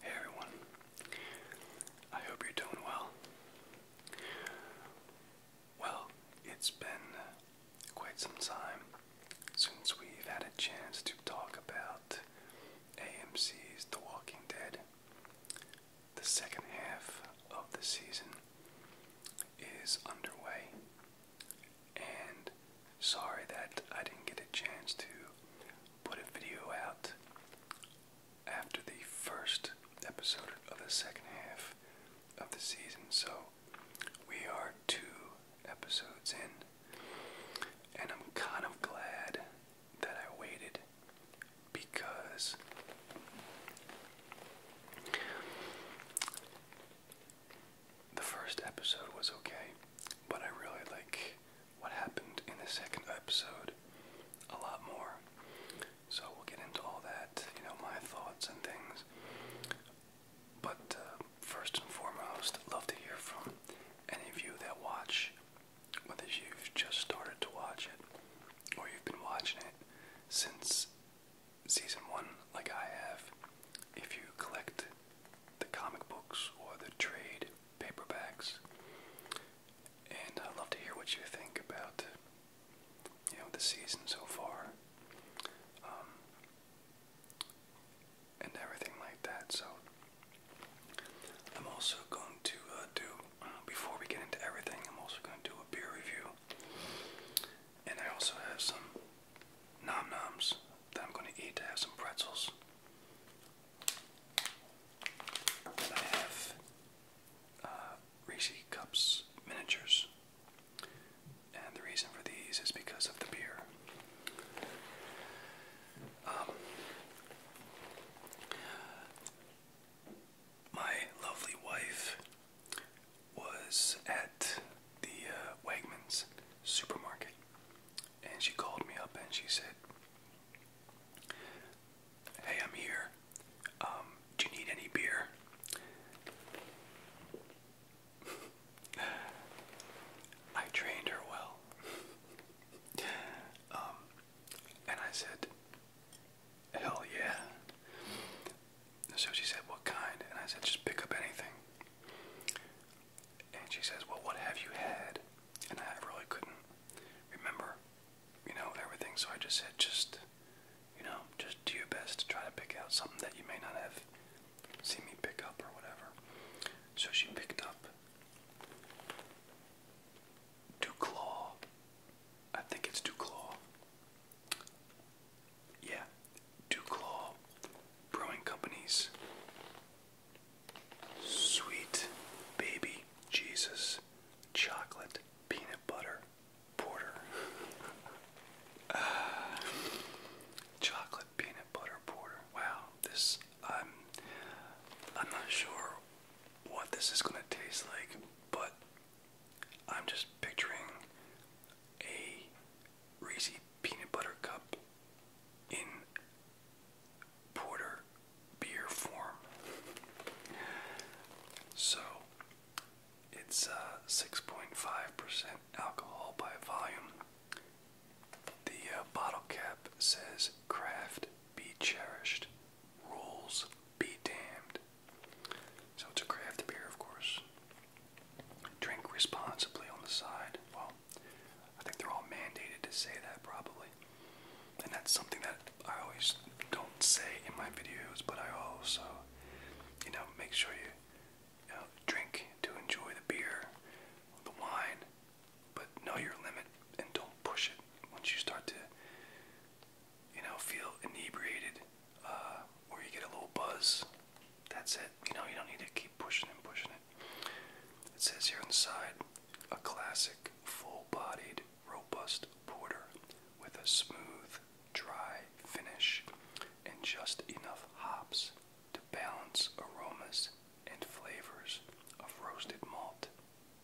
Hey everyone, I hope you're doing well. Well, it's been quite some time since we've had a chance to talk about AMC's The Walking Dead. The second half of the season is underway, and sorry that I didn't get a chance to put a video out after the first episode of the second half of the season. So we are two episodes in, and I'm kind of glad that I waited because the first episode was okay, but I really like what happened in the second episode a lot more. So we'll get into all that, you know, my thoughts and things. But uh, first and foremost, love to hear from any of you that watch, whether you've just started to watch it or you've been watching it since season one, like I have. If you collect the comic books or the trade paperbacks. And i love to hear what you think about, you know, the season so far, um, and everything like that. So I'm also going to uh, do, before we get into everything, I'm also going to do a beer review, and I also have some nom noms that I'm going to eat. I have some pretzels. And I have uh, Cups miniatures. And the reason for these is because of the beer. Um, my lovely wife was at the uh, Wegmans supermarket and she called me up and she said, Hey, I'm here. Um, do you need any beer? I trained her well. Um, and I said, Hell yeah. So she said, What kind? And I said, Just pick up anything. And she says, Well, what have you had? And I really couldn't remember, you know, everything. So I just said, Just, you know, just do your best to try to pick out something that you may not have seen me pick up or whatever. So she picked up Duclaw. I think it's Duclaw. Yeah, Duclaw Brewing Company's Sweet Baby Jesus Chocolate Peanut Butter Porter. chocolate Peanut Butter Porter. Wow, this, I'm, I'm not sure what this is going to taste like, but I'm just picturing a Reese's peanut butter cup in porter beer form. So it's 6.5% uh, alcohol by volume. The uh, bottle cap says craft be cherished, rules be damned. So it's a craft beer, of course. Drink responsibly on the side. I think they're all mandated to say that probably. And that's something that I always don't say in my videos, but I also, you know, make sure you, you know, drink to enjoy the beer, the wine, but know your limit and don't push it. Once you start to, you know, feel inebriated uh, or you get a little buzz, that's it. You know, you don't need to keep pushing and pushing it. It says here inside a classic, full bodied, robust porter with a smooth, dry finish and just enough hops to balance aromas and flavors of roasted malt,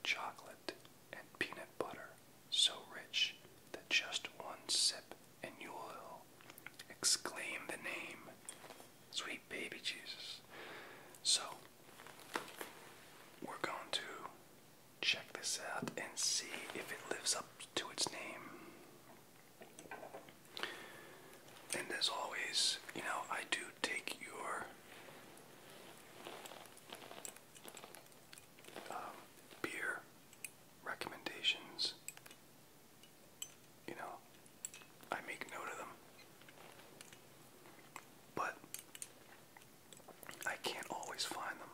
chocolate, and peanut butter so rich that just one sip and you'll exclaim the name. Sweet baby Jesus. So we're going to check this out and see if it lives up to its name. And as always, you know, I do take your um, beer recommendations. You know, I make note of them but I can't always find them.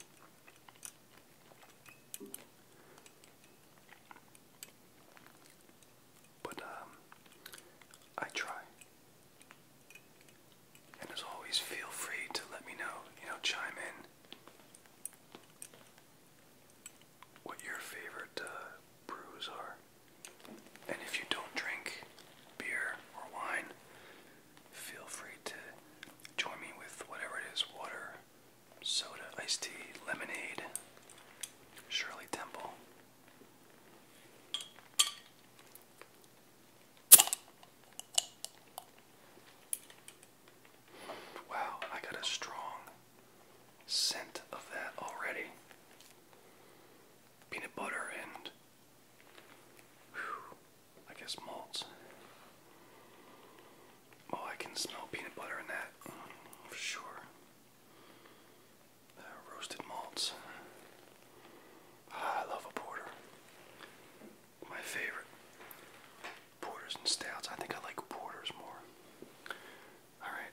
But um, I try. And as always, feel free to let me know, you know, chime in what your favorite uh, brews are. And if you don't drink beer or wine, feel free to join me with whatever it is water, soda, iced tea, lemonade, Shirley Temple. Wow, I got a strong scent of that already. Peanut butter and I guess malts. Oh, I can smell peanut butter in that for sure. Uh, roasted malts. Ah, I love a porter. My favorite. Porters and stouts. I think I like porters more. Alright.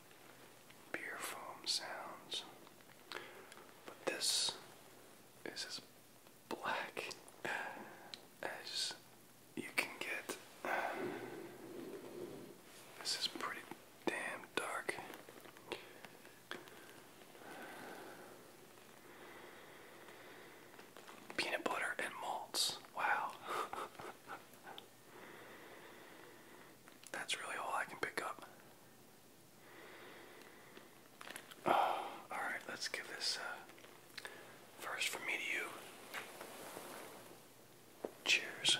beer foam sounds. But this is as black as you can get. This is pretty damn dark. Peanut butter and malts. Wow. That's really all I can pick up. Alright, let's give this uh, first from me to you. Cheers.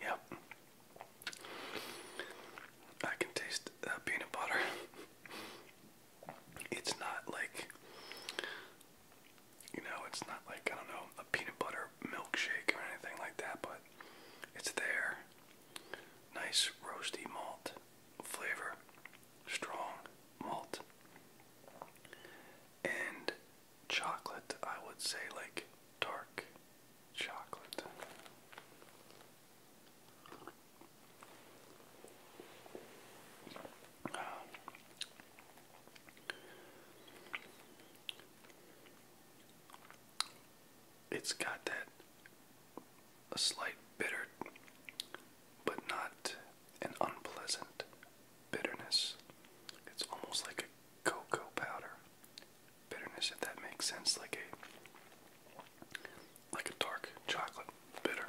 Yep. I can taste uh, peanut butter. it's not like you know, it's not like I don't know a peanut butter milkshake or anything like that, but it's there. Nice roasty malt flavor, strong malt, and chocolate. I would say like dark chocolate. It's got that a slight bitter but not an unpleasant bitterness. It's almost like a cocoa powder bitterness if that makes sense like a like a dark chocolate bitter.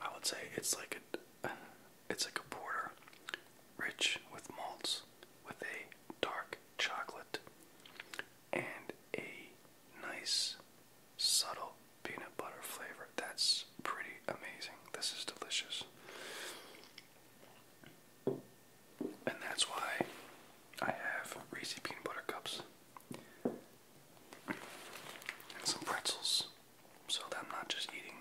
I would say it's like a it's like a porter, rich with malts, with a dark chocolate and a nice subtle peanut butter flavor. That's pretty amazing. This is delicious. And that's why I have Reese's peanut butter cups and some pretzels so I'm not just eating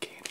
candy.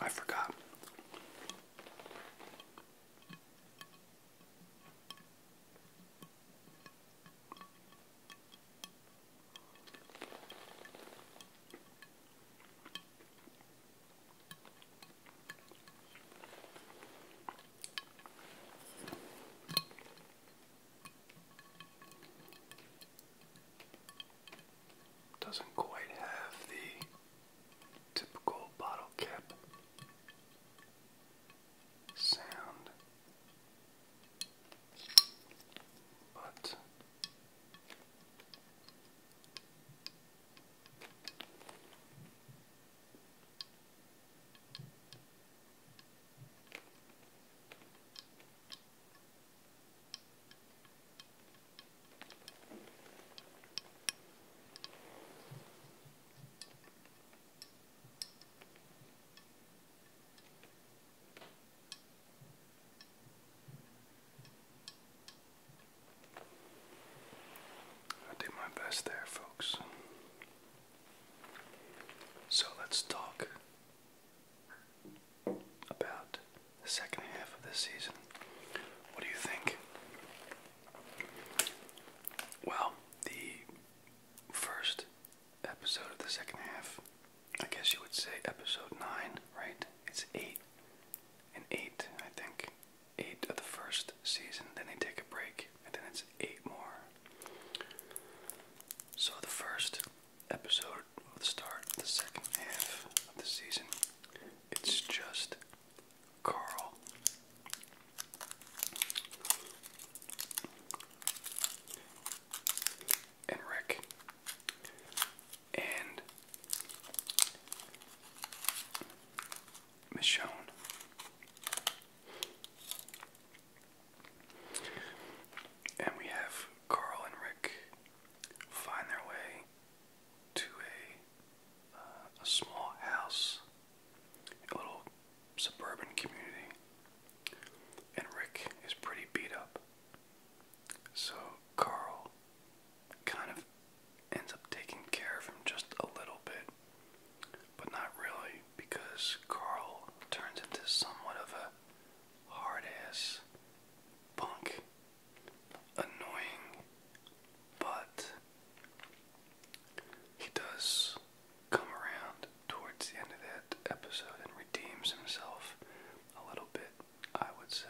I forgot. Doesn't quite have the typical bottle cap sound, but i did my best there, folks. So let's talk about the second half of the season. What do you think? Well, the first episode of the second half, I guess you would say episode 9, right? It's 8 and 8, I think. 8 of the first season, then they take a break, and then it's eight more. So the first episode of the start the second half of the season, it's just Carl. And Rick. And Michonne. And we have Carl and Rick find their way to a uh, a small house, a little suburban community, and Rick is pretty beat up. So Carl kind of ends up taking care of him just a little bit but not really, because Carl turns into somewhat of a hard ass punk. Annoying, but he does come around towards the end of that episode and redeems himself a little bit, I would say.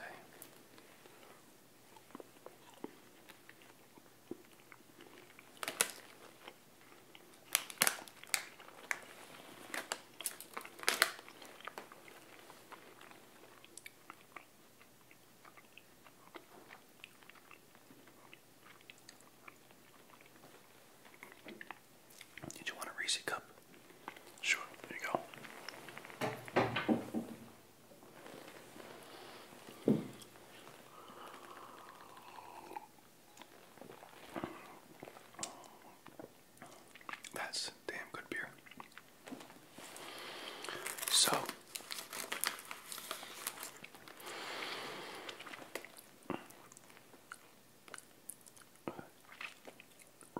Did you want a Reese cup? Sure, there you go. That's damn good beer. So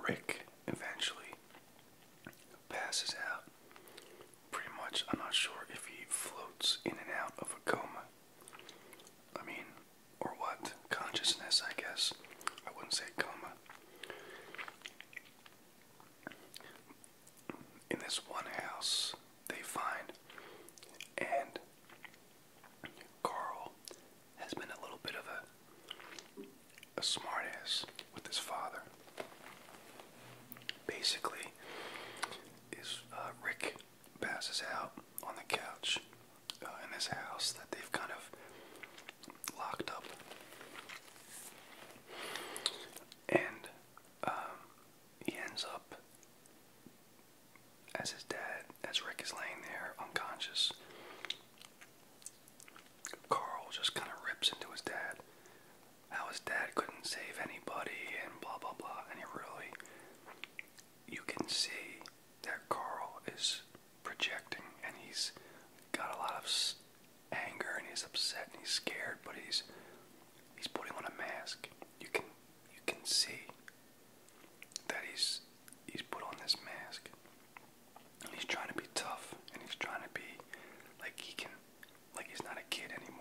Rick eventually passes out. Pretty much, I'm not sure if he floats in and out of a coma. I mean, or what? Consciousness, I guess. I wouldn't say coma. In this one house, they find, and Carl has been a little bit of a, a smartass with his father. Basically, is uh, Rick passes out on the couch uh, in this house that they've kind of locked up. And um, he ends up as his dad, as Rick is laying there unconscious. Carl just kind of rips into his dad. How his dad couldn't save anybody and blah blah blah. And he really you can see that Carl is projecting and he's got a lot of anger and he's upset and he's scared, but he's he's putting on a mask. You can you can see that he's he's put on this mask. And he's trying to be tough and he's trying to be like he can like he's not a kid anymore.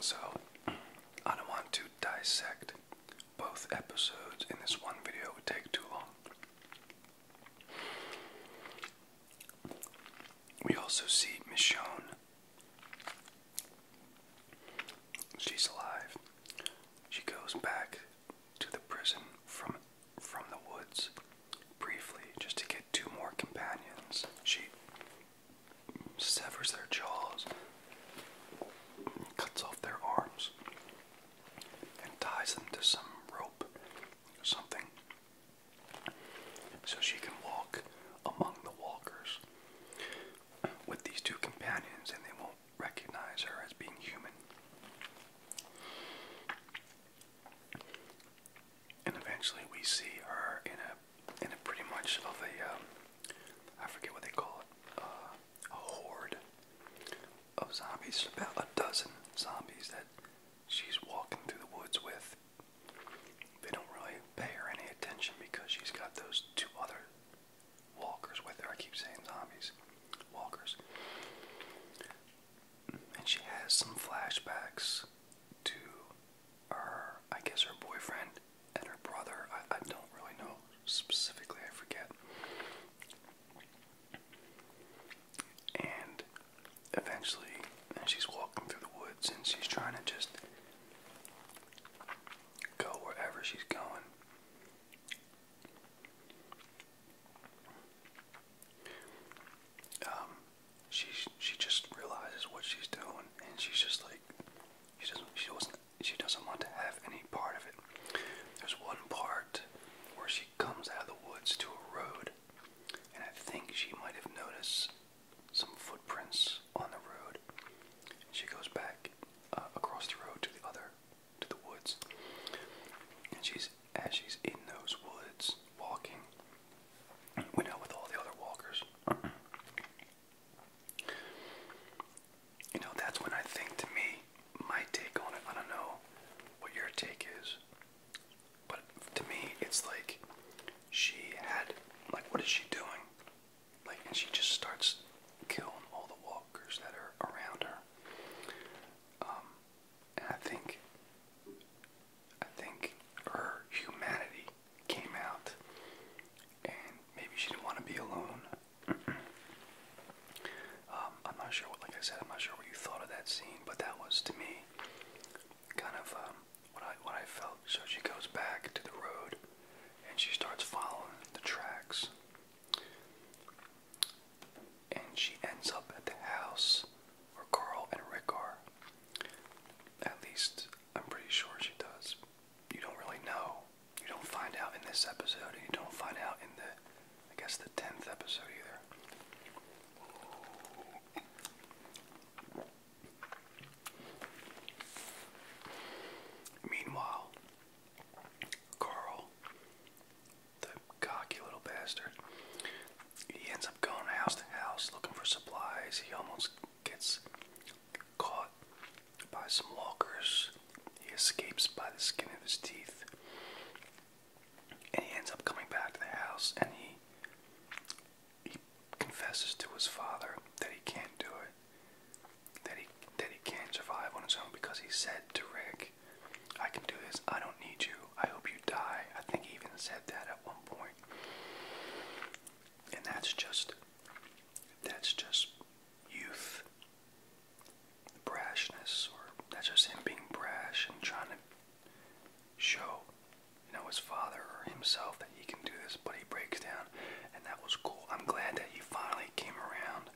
So, I don't want to dissect both episodes in this one video, it would take too long. We also see Michonne. She's alive. She goes back to the prison from from the woods briefly just to get two more companions. She severs their jaws, cuts off their arms, and ties them to some rope or something so she can walk among the walkers with these two companions and they won't recognize her as being human. And eventually we see her in a in a pretty much of a, um, I forget what they call it uh, a horde of zombies about a dozen zombies that she's walking through the woods with. They don't really pay her any attention because she's got those two other walkers with her. I keep saying zombies, walkers. And she has some flashbacks to her, I guess, her boyfriend and her brother. I, I don't really know specifically, I forget. And eventually, she's walking through the woods and she's trying to just go wherever she's going. Um, she she just realizes what she's doing, and she's just like, she doesn't she doesn't she doesn't want to have any part of it. There's one part where she comes out of the woods to a road, and I think she might have noticed some footprints on the road. She goes back uh, across the road to the other, to the woods, and she's as she's in those woods walking, went out with all the other walkers. You know, that's when I think to me, my take on it, I don't know what your take is, but to me, it's like she had, like, what is she doing? Like, and she just starts killing all the walkers that are around her. Um, and I think, I think her humanity came out, and maybe she didn't want to be alone. Um, I'm not sure like I said, I'm not sure what you thought of that scene, but that was to me kind of um, what I what I felt. So she goes back to the road, and she starts following the tracks, and she ends up at the house where Carl and Rick At least I'm pretty sure she does. You don't really know. You don't find out in this episode, and you don't find out in the I guess the 10th episode either. Meanwhile, Carl, the cocky little bastard, he ends up going house to house looking for supplies. He almost gets caught by some lockers. He escapes by the skin of his teeth. And he ends up coming back to the house and he he confesses to his father that he can't do it. That he that he can't survive on his own because he said to Rick, I can do this, I don't need you, I hope you die. I think he even said that at one point. And that's just that's just youth brashness or that's just him being brash and trying to show, you know, his father or himself that he can do this, but he breaks down, and that was cool. I'm glad that he finally came around,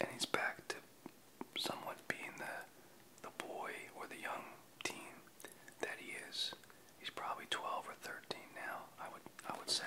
and he's back to somewhat being the the boy or the young teen that he is. He's probably 12 or 13 now. I would I would say.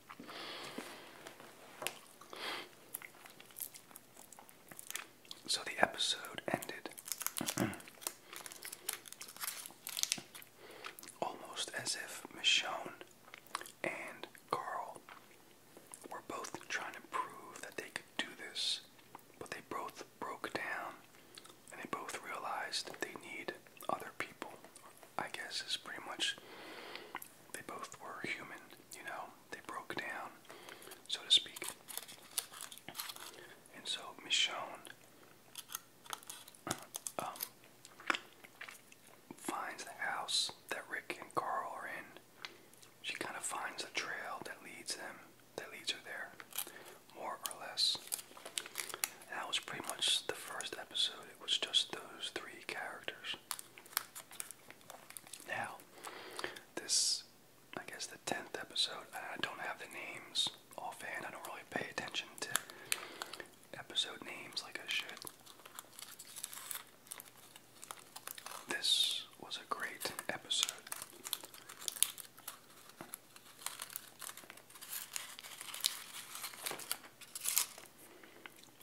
So the episode ended almost as if Michonne and Carl were both trying to prove that they could do this, but they both broke down and they both realized that they need other people. I guess is pretty much they both were human, you know. They broke down, so to speak. And so Michonne um, finds the house that Rick and Carl are in. She kind of finds a trail that leads them, that leads her there, more or less. that was pretty much the first episode. It was just those three characters. Now, this, I guess, the 10th episode, I don't have the names offhand. I don't really pay attention to episode names like I should. This was a great episode.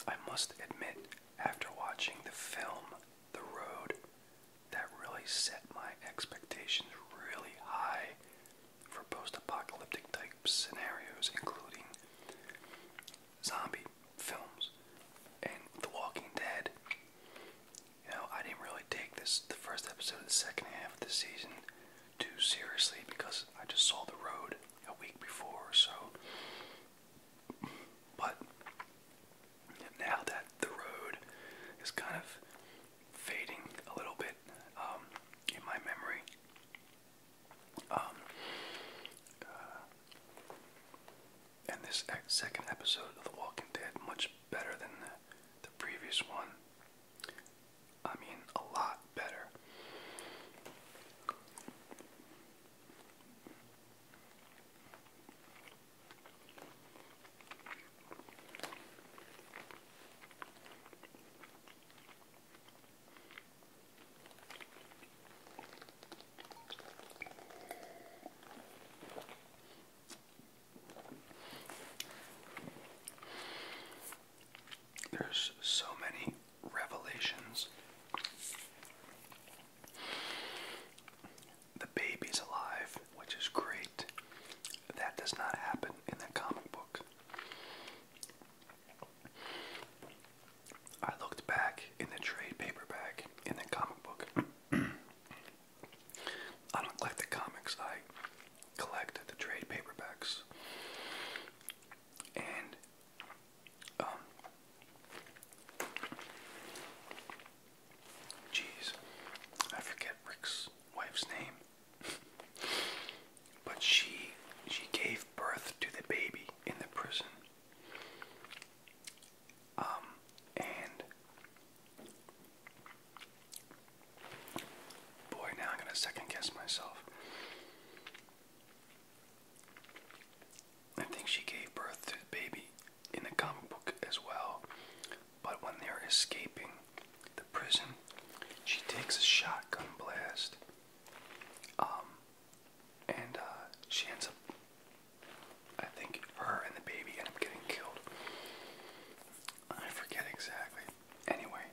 I must admit, after watching the film The Road, that really set my expectations really high for post apocalyptic type scenarios, including zombie films and The Walking Dead. You know, I didn't really take this, the first episode of the second half of the season, too seriously because I just saw The Road a week before, so but now that the road is kind of fading a little bit um, in my memory, um, uh, and this second episode of The Walking Dead much better than the, the previous one. I mean, a lot better. There's so many revelations the baby's alive, which is great. That does not happen in the comic book. I looked back in the trade paperback in the comic book. I don't collect the comics, I collect the trade paperbacks. And um, jeez, I forget Rick's wife's name, but she she gave birth to the baby in the prison. Um, and boy, now I'm gonna second guess myself. I think she gave birth to the baby in the comic book as well. But when they're escaping the prison, she takes a shotgun blast. Um, and uh, she ends up, I think her and the baby end up getting killed. I forget exactly. Anyway,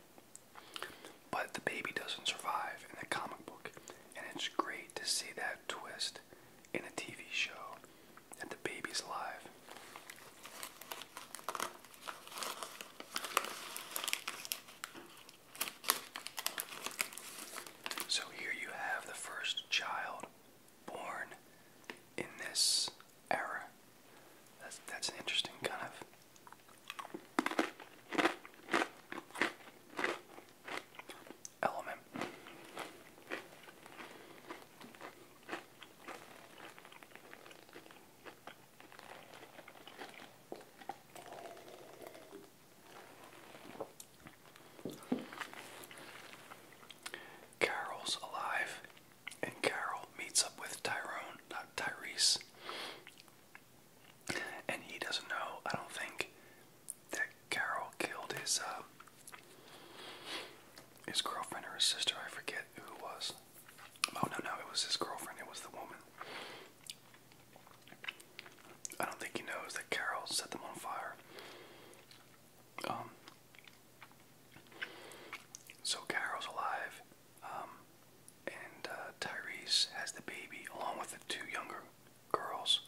but the baby doesn't survive in the comic book, and it's great to see that twist in a TV show, and the baby's alive. So here you have the first child born in this era. That's, that's an interesting kind of element. Carol's alive, and Carol meets up with Tyrone, not Tyrese. And he doesn't know, I don't think, that Carol killed his uh, his girlfriend or his sister. I forget who it was. Oh no, no, it was his girlfriend. It was the woman. I don't think he knows that Carol set them on fire. Um, so Carol's alive, um, and uh, Tyrese has the baby along with the two younger girls.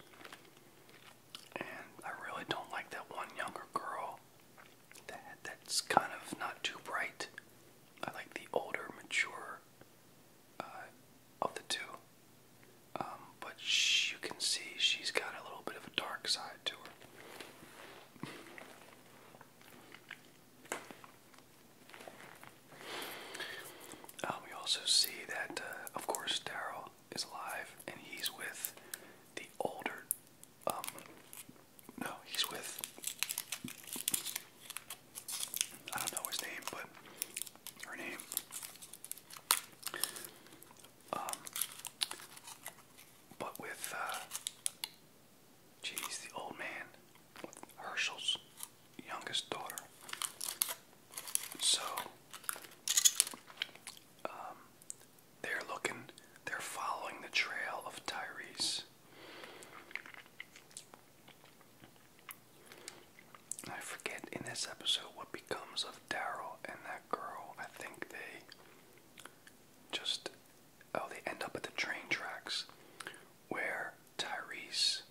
And I really don't like that one younger girl. That that's kind of not too bright. I like the older, mature uh, of the two. Um, but you can see she's got a little bit of a dark side to her. Um, we also see that, uh, of course, Daryl is alive, and he's with the older. Um, no, he's with. I don't know his name, but her name. Um, but with, uh, geez, the old man, with Herschel's youngest daughter. So um, they're looking, they're following the trail of Tyrese. I forget in this episode what becomes of Daryl and that girl. I think they just, oh, they end up at the train tracks where Tyrese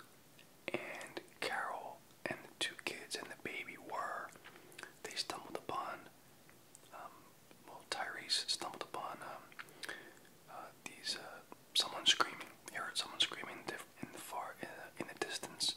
and Carol and the two kids and the baby were, they stumbled upon, um, well, Tyrese stumbled upon um, uh, these, uh, someone screaming. He heard someone screaming in the far, in the distance.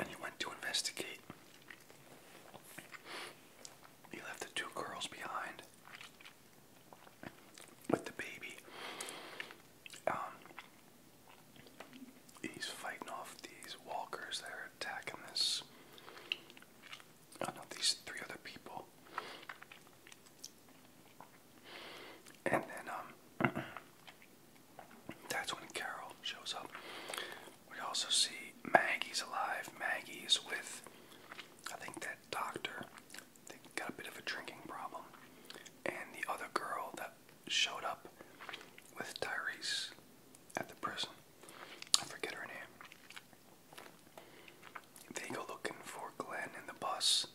And he went to investigate. He left the two girls behind with the baby. Um, he's fighting off these walkers that are attacking this. I know these three other people. And then um, that's when Carol shows up. We also see Maggie's alive. Maggie's with, I think that doctor they got a bit of a drinking problem. And the other girl that showed up with Tyrese at the prison, I forget her name. They go looking for Glenn in the bus.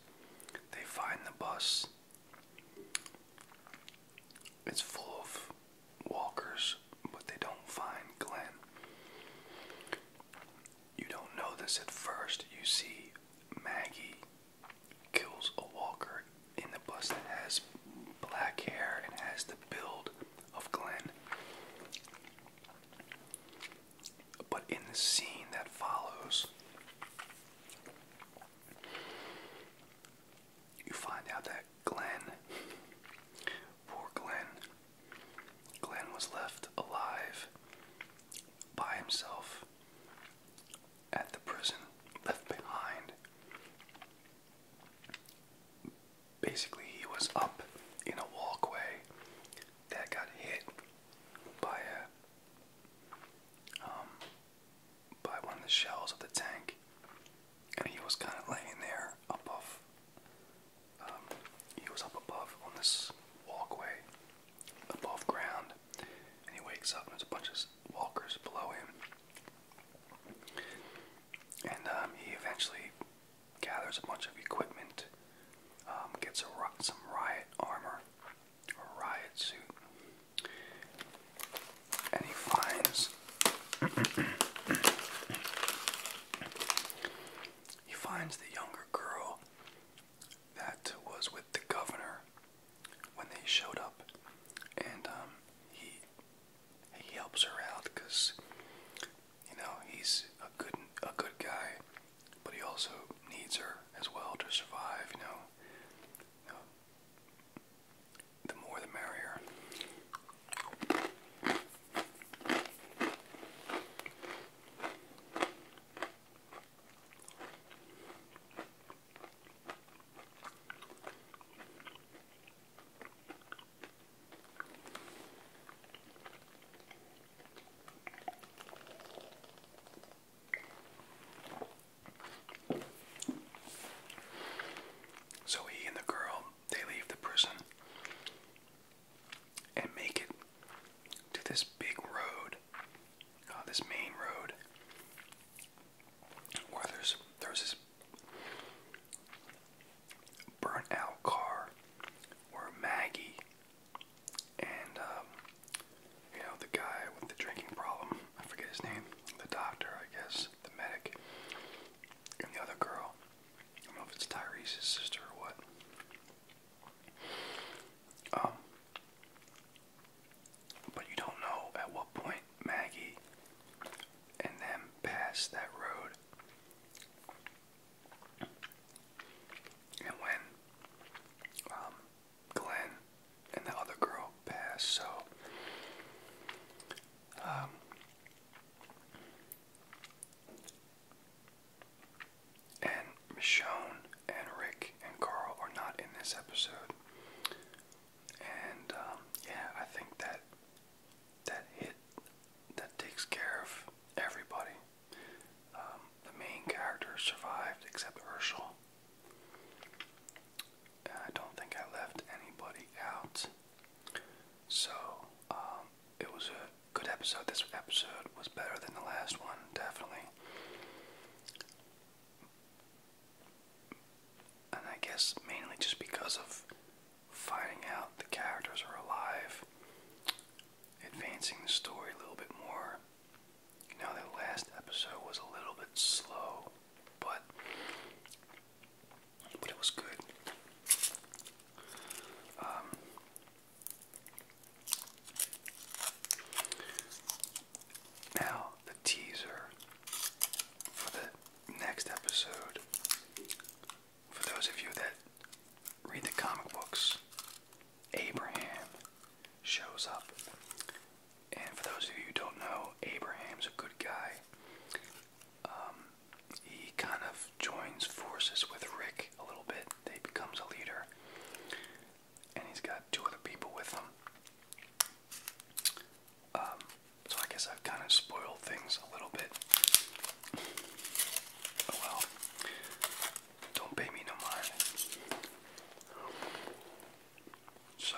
They find the bus. It's full of walkers, but they don't find Glenn. You don't know this at first. You see Maggie kills a walker in the bus that has black hair and has the build of Glenn. But in the scene that follows, you find out that Glenn, poor Glenn, Glenn was left alive by himself at the prison left behind. Basically, he was up in a walkway that got hit by a um, by one of the shells of the tank, and he was kind of laying there above. Um, he was up above on this walkway, above ground, and he wakes up and there's a bunch of walkers below him. And um, he eventually gathers a bunch of equipment, um, gets some riot armor, a riot suit, and he finds he finds the younger girl that was with the governor when they showed up, and um, he he helps her out because you know he's a good a good guy, but he also needs her as well to survive. You know, you know the more the merrier. So he and the girl, they leave the prison and make it to this big road, uh, this main road, where there's there's this burnt out car where Maggie and um, you know the guy with the drinking problem, I forget his name, the doctor, I guess, the medic, and the other girl. I don't know if it's Tyrese's sister or what. Um, but you don't know at what point Maggie and them passed that road. And when um, and the other girl passed, so um, and Michonne and Rick and Carl are not in this episode. And um, yeah, I think that that hit that takes care of everybody. Um, the main characters survived except Urshel. I don't think I left anybody out. So, um, it was a good episode. This episode was better than the last one, definitely and I guess mainly just because of finding out the characters are alive, advancing the story a little bit more. You know, the last episode was a little bit slow, but but it was good. Um, now, the teaser for the next episode, for those of you that read the comic books, Abraham shows up. And for those of you who don't know, Abraham's a good guy. Um, he kind of joins forces with Rick a little bit. They becomes a leader and he's got two other people with him. Um, so I guess I've kind of spoiled things a little bit. Oh well, don't pay me no mind. So.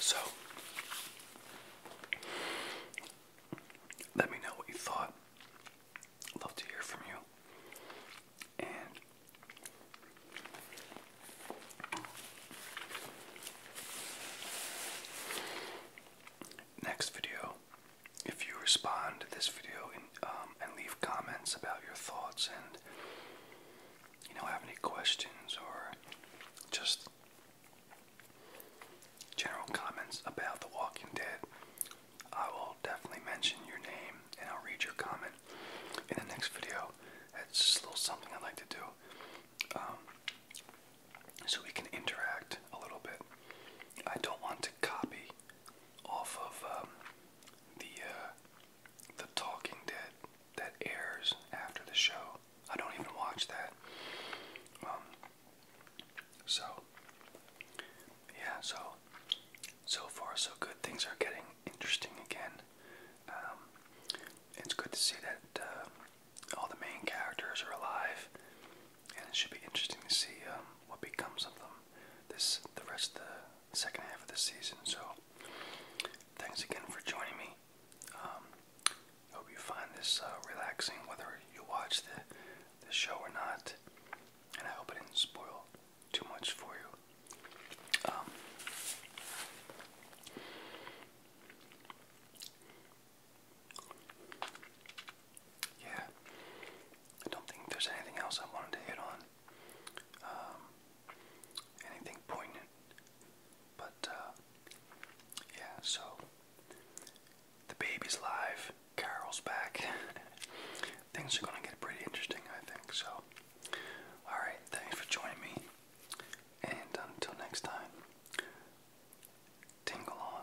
So, let me know what you thought. Love to hear from you. And next video, if you respond to this video um, and, leave comments about your thoughts and you know have any questions or just general comments about The Walking Dead, I will definitely mention your name and I'll read your comment in the next video. It's just a little something I like to do. Um, so we can interact a little bit. I don't want to copy off of um, the uh, the Talking Dead that airs after the show. I don't even watch that. Um, so, yeah, so, so far so good. Things are getting interesting again. Um, it's good to see that uh, all the main characters are alive, and it should be interesting to see um, what becomes of them this the rest of the second half of the season. So, thanks again for joining me. Um, hope you find this uh, relaxing, whether you watch the, the show or not. And I hope I didn't spoil too much for you. Um, yeah, I don't think there's anything else I wanted to hit on. Um, anything poignant. But uh, yeah, so the baby's live, Carol's back. Things are gonna get pretty interesting, I think. So, all right, thanks for joining me, and until next time, tingle on.